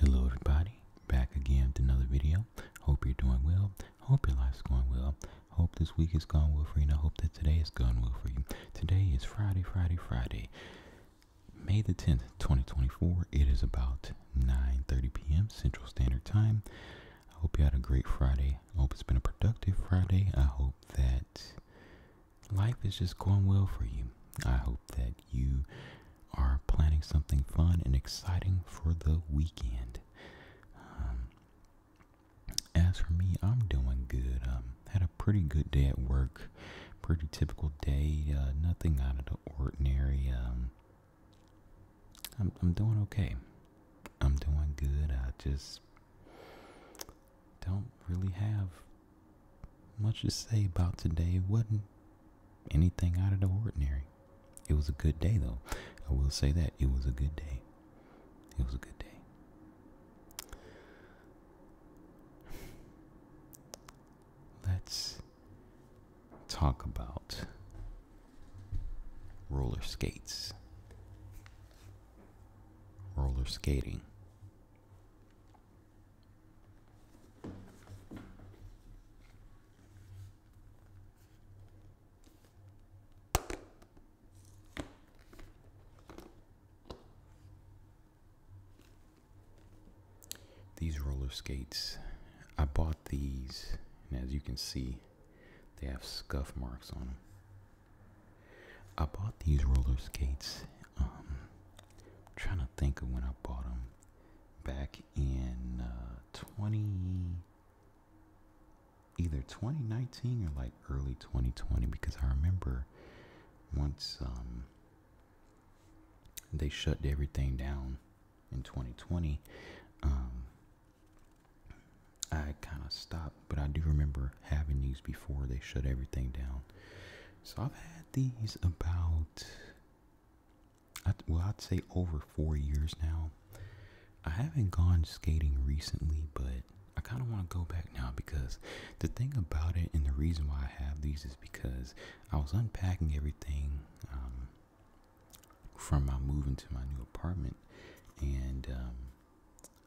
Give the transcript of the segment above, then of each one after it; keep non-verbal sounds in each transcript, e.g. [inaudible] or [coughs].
Hello everybody, back again with another video. Hope you're doing well. Hope your life's going well. Hope this week is going well for you and I hope that today is going well for you. Today is Friday, Friday, Friday. May the 10th, 2024. It is about 9.30 p.m. Central Standard Time. I hope you had a great Friday. I hope it's been a productive Friday. I hope that life is just going well for you. I hope that you are planning something fun and exciting for the weekend. Um, as for me, I'm doing good. Um, had a pretty good day at work, pretty typical day. Uh, nothing out of the ordinary. Um, I'm doing okay. I'm doing good. I just don't really have much to say about today. It wasn't anything out of the ordinary. It was a good day, though. I will say that. It was a good day. It was a good day. Let's talk about roller skates, roller skating. These roller skates, I bought these, and as you can see, they have scuff marks on them. I bought these roller skates um, I'm trying to think of when I bought them back in uh, 20 either 2019 or like early 2020 because I remember once um, they shut everything down in 2020 um, I kind of stopped but I do remember having these before they shut everything down so I've had these about, well, I'd say over four years now. I haven't gone skating recently, but I kind of want to go back now because the thing about it and the reason why I have these is because I was unpacking everything um, from my move into my new apartment and um,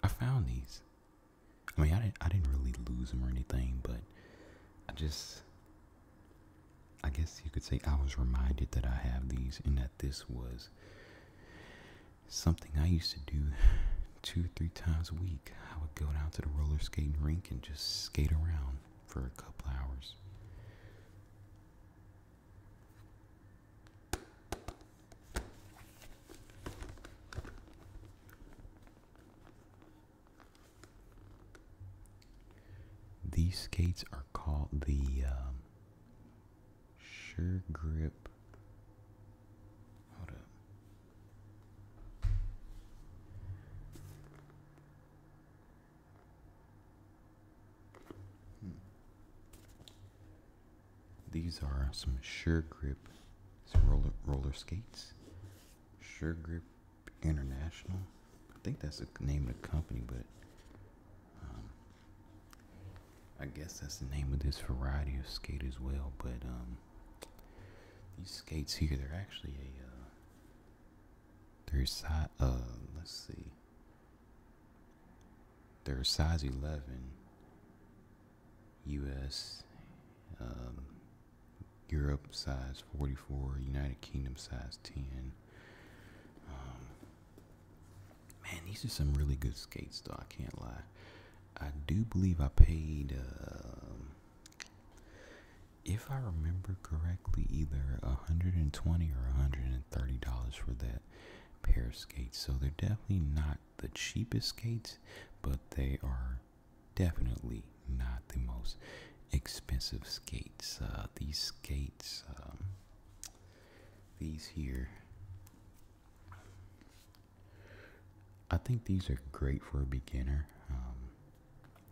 I found these. I mean, I didn't, I didn't really lose them or anything, but I just, I guess you could say I was reminded that I have these and that this was something I used to do two, three times a week. I would go down to the roller skating rink and just skate around for a couple hours. These skates are called the um, Sure Grip. Hold up. Hmm. These are some Sure Grip roller skates. Sure Grip International. I think that's the name of the company, but um, I guess that's the name of this variety of skate as well. But um, these skates here, they're actually a uh, they're size uh, let's see, they're size eleven. U.S., um, Europe size 44, United Kingdom size 10. Um, man, these are some really good skates, though. I can't lie. I do believe I paid, um, if I remember correctly, either 120 or $130 for that pair of skates. So they're definitely not the cheapest skates, but they are definitely not the most expensive skates. Uh, these skates, um, these here, I think these are great for a beginner. Um,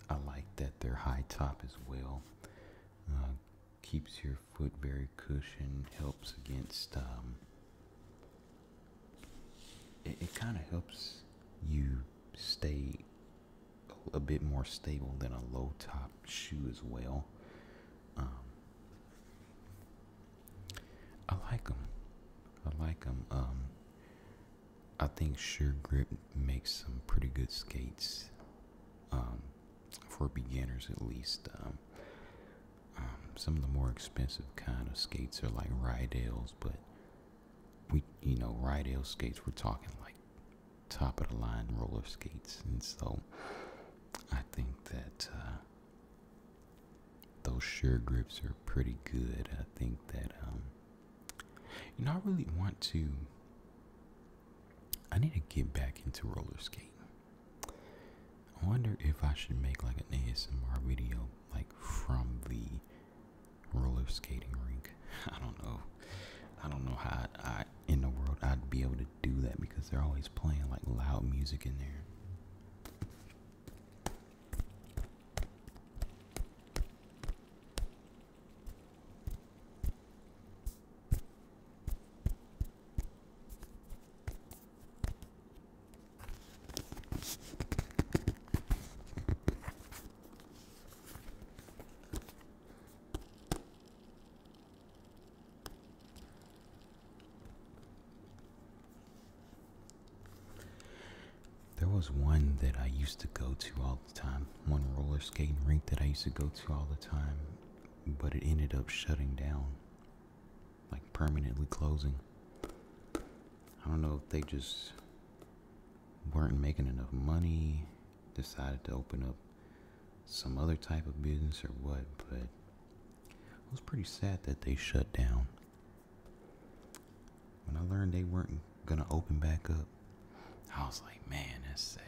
I like that they're high top as well. Uh, keeps your foot very cushioned, helps against um, it, kind of helps you stay a bit more stable than a low top shoe as well. Um, I like them. I like them. Um, I think Sure Grip makes some pretty good skates um, for beginners, at least. Um, um some of the more expensive kind of skates are like Rydell's, but we you know Rydell skates we're talking like top of the line roller skates and so I think that uh, those sure grips are pretty good I think that um you know I really want to I need to get back into roller skating I wonder if I should make like an ASMR video like from the roller skating rink. [laughs] I don't know. I don't know how I, in the world I'd be able to do that because they're always playing like loud music in there. There was one that I used to go to all the time, one roller skating rink that I used to go to all the time, but it ended up shutting down, like permanently closing. I don't know if they just weren't making enough money, decided to open up some other type of business or what, but it was pretty sad that they shut down. When I learned they weren't gonna open back up, I was like, man, that's sad.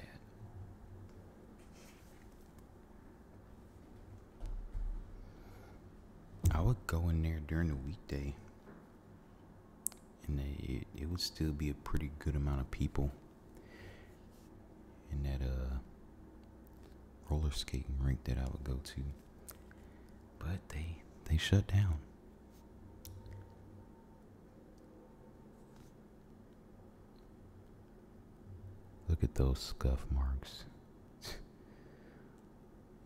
I would go in there during the weekday and it, would still be a pretty good amount of people in that uh, roller skating rink that I would go to. But they they shut down. Look at those scuff marks. [laughs]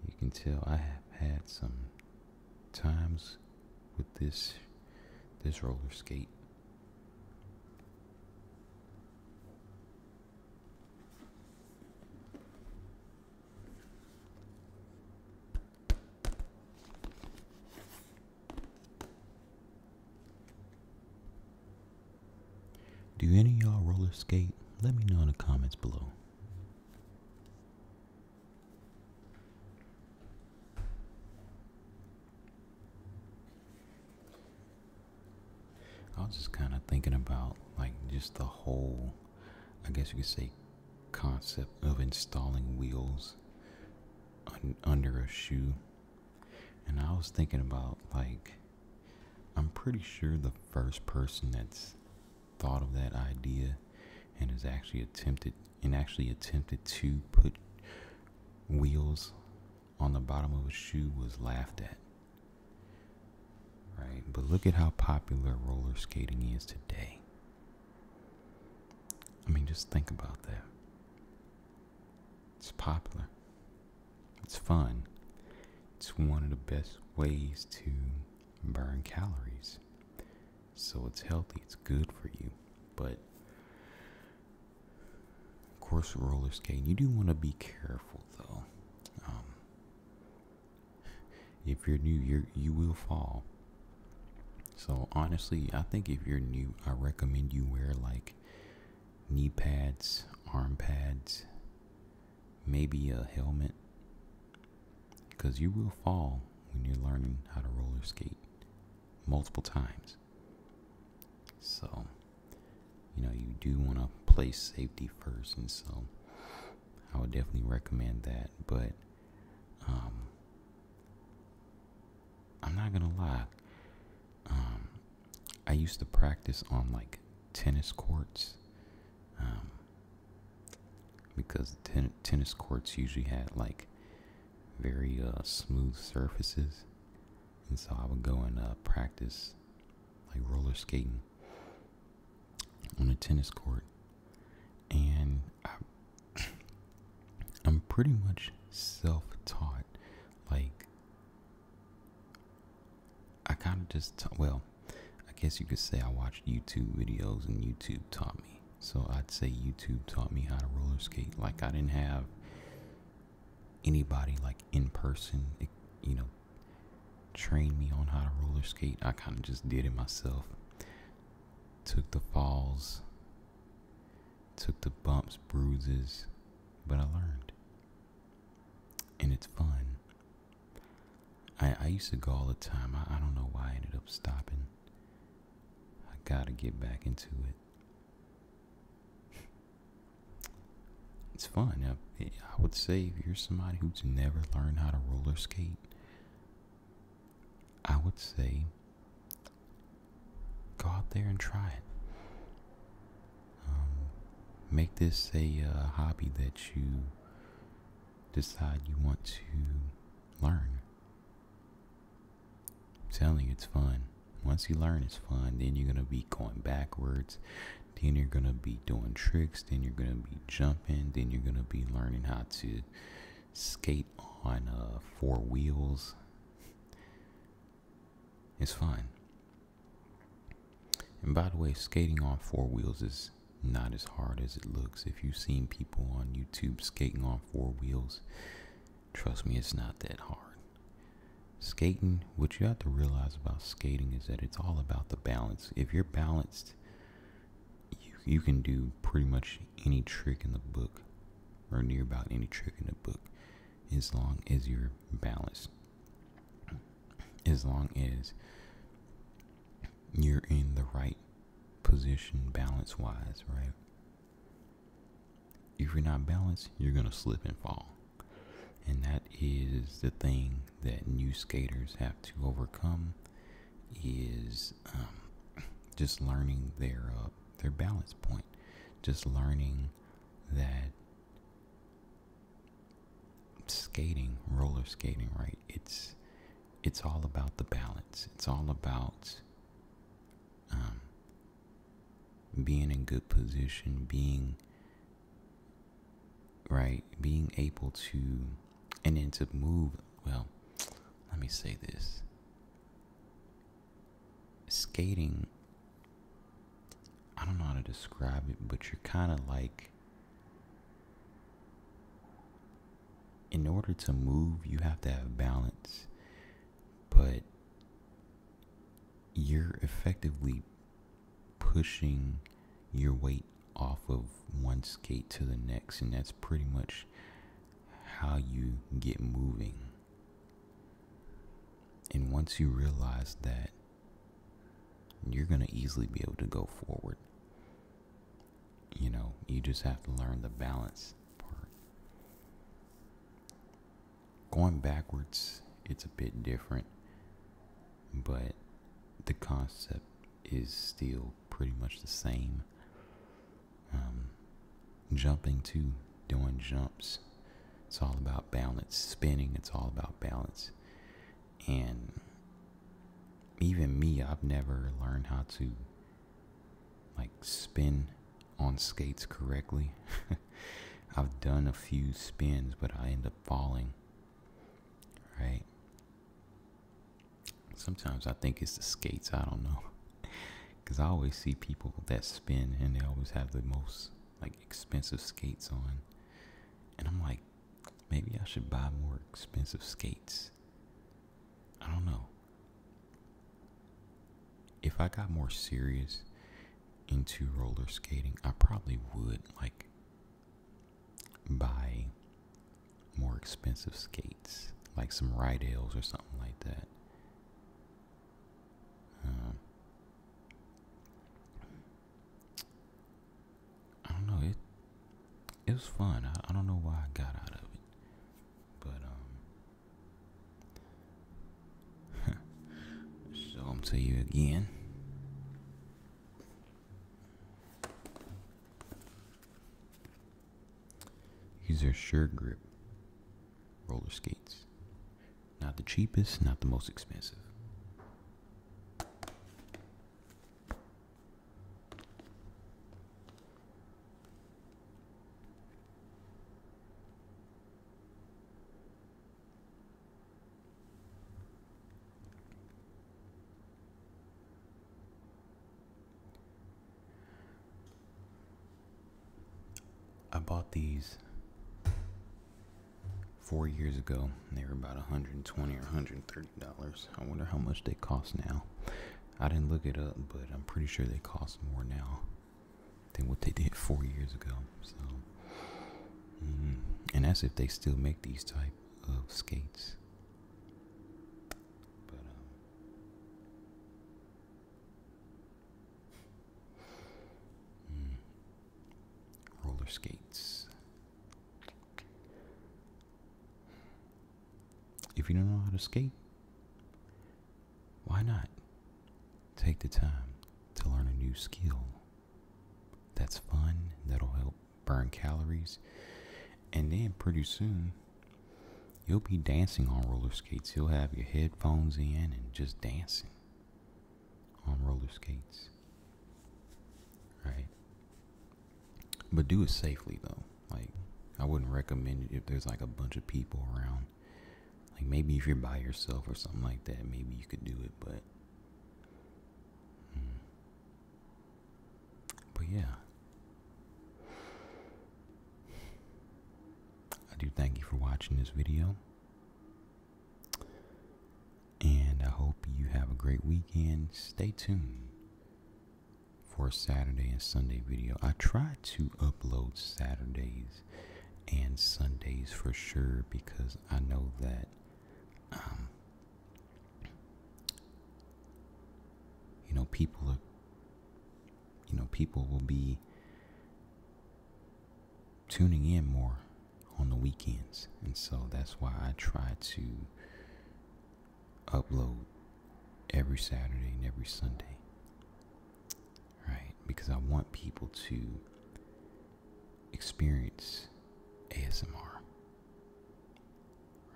You can tell I have had some times with this this roller skate. Do any y'all roller skate? Let me know in the comments below. I was just kind of thinking about like just the whole, I guess you could say, concept of installing wheels under a shoe. And I was thinking about like, I'm pretty sure the first person that's thought of that idea and has actually attempted and actually attempted to put wheels on the bottom of a shoe was laughed at. Right? But look at how popular roller skating is today. I mean, just think about that. It's popular. It's fun. It's one of the best ways to burn calories. So it's healthy, it's good for you. But of course, roller skating, you do want to be careful though. Um, if you're new, you you will fall. So honestly, I think if you're new, I recommend you wear like knee pads, arm pads, maybe a helmet because you will fall when you're learning how to roller skate multiple times. So, you know, you do want to place safety first, and so I would definitely recommend that. But, um, I'm not gonna lie, um, I used to practice on like tennis courts, um, because tennis courts usually had like very uh, smooth surfaces, and so I would go and uh, practice like roller skating on a tennis court, and I, [coughs] I'm pretty much self-taught. Like I kind of just well, I guess you could say I watched YouTube videos and YouTube taught me. So I'd say YouTube taught me how to roller skate. Like I didn't have anybody like in person, you know, train me on how to roller skate. I kind of just did it myself. Took the falls, took the bumps, bruises, but I learned. And it's fun. I, used to go all the time. I, don't know why I ended up stopping. I gotta get back into it. It's fun. I, would say if you're somebody who's never learned how to roller skate, I would say go out there and try it. Um, make this a uh, hobby that you decide you want to learn. telling you, it's fun. Once you learn, it's fun. Then you're going to be going backwards. Then you're going to be doing tricks. Then you're going to be jumping. Then you're going to be learning how to skate on uh, four wheels. It's fun. And by the way, skating on four wheels is not as hard as it looks. If you've seen people on YouTube skating on four wheels, trust me, it's not that hard. Skating, what you have to realize about skating is that it's all about the balance. If you're balanced, you, can do pretty much any trick in the book or near about any trick in the book as long as you're balanced as long as you're in the right position balance wise, right? If you're not balanced, you're going to slip and fall. And that is the thing that new skaters have to overcome is um, just learning their uh, their balance point, just learning that skating, roller skating, right? It's it's all about the balance. It's all about um, being in good position, being right, being able to and then to move. Well, let me say this: skating I don't know how to describe it, but you're kind of like. In order to move, you have to have balance, but you're effectively pushing your weight off of one skate to the next, and that's pretty much how you get moving. And once you realize that you're going to easily be able to go forward. You know, you just have to learn the balance part. Going backwards, it's a bit different, but the concept is still pretty much the same. Um, jumping too, doing jumps. It's all about balance. Spinning, it's all about balance. And even me, I've never learned how to like spin on skates correctly. [laughs] I've done a few spins, but I end up falling. Right? Sometimes I think it's the skates, I don't know. [laughs] Cause I always see people that spin and they always have the most like expensive skates on. And I'm like, Maybe I should buy more expensive skates. I don't know. If I got more serious into roller skating, I probably would like buy more expensive skates, like some Rydales or something like that. Um, I don't know. It it was fun. I, don't know why I got out of it, but um. show them to you again. These are Sure Grip roller skates. Not the cheapest, not the most expensive. I bought these four years ago they were about 120 or 130 dollars i wonder how much they cost now i didn't look it up but i'm pretty sure they cost more now than what they did four years ago so mm-hmm. and as if they still make these type of skates but um mm roller skates. If you don't know how to skate, why not take the time to learn a new skill? That's fun, that'll help burn calories, and then pretty soon you'll be dancing on roller skates. You'll have your headphones in and just dancing on roller skates. Right? But do it safely though. Like I wouldn't recommend it if there's like a bunch of people around. Like maybe if you're by yourself or something like that, maybe you could do it, but mm. But yeah. I do thank you for watching this video. And I hope you have a great weekend. Stay tuned for Saturday and Sunday video. I try to upload Saturdays and Sundays for sure because I know that um, you know people are you know people will be tuning in more on the weekends. And so that's why I try to upload every Saturday and every Sunday. Right? Because I want people to experience ASMR.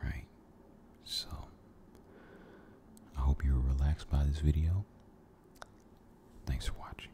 Right? So I hope you are relaxed by this video. Thanks for watching.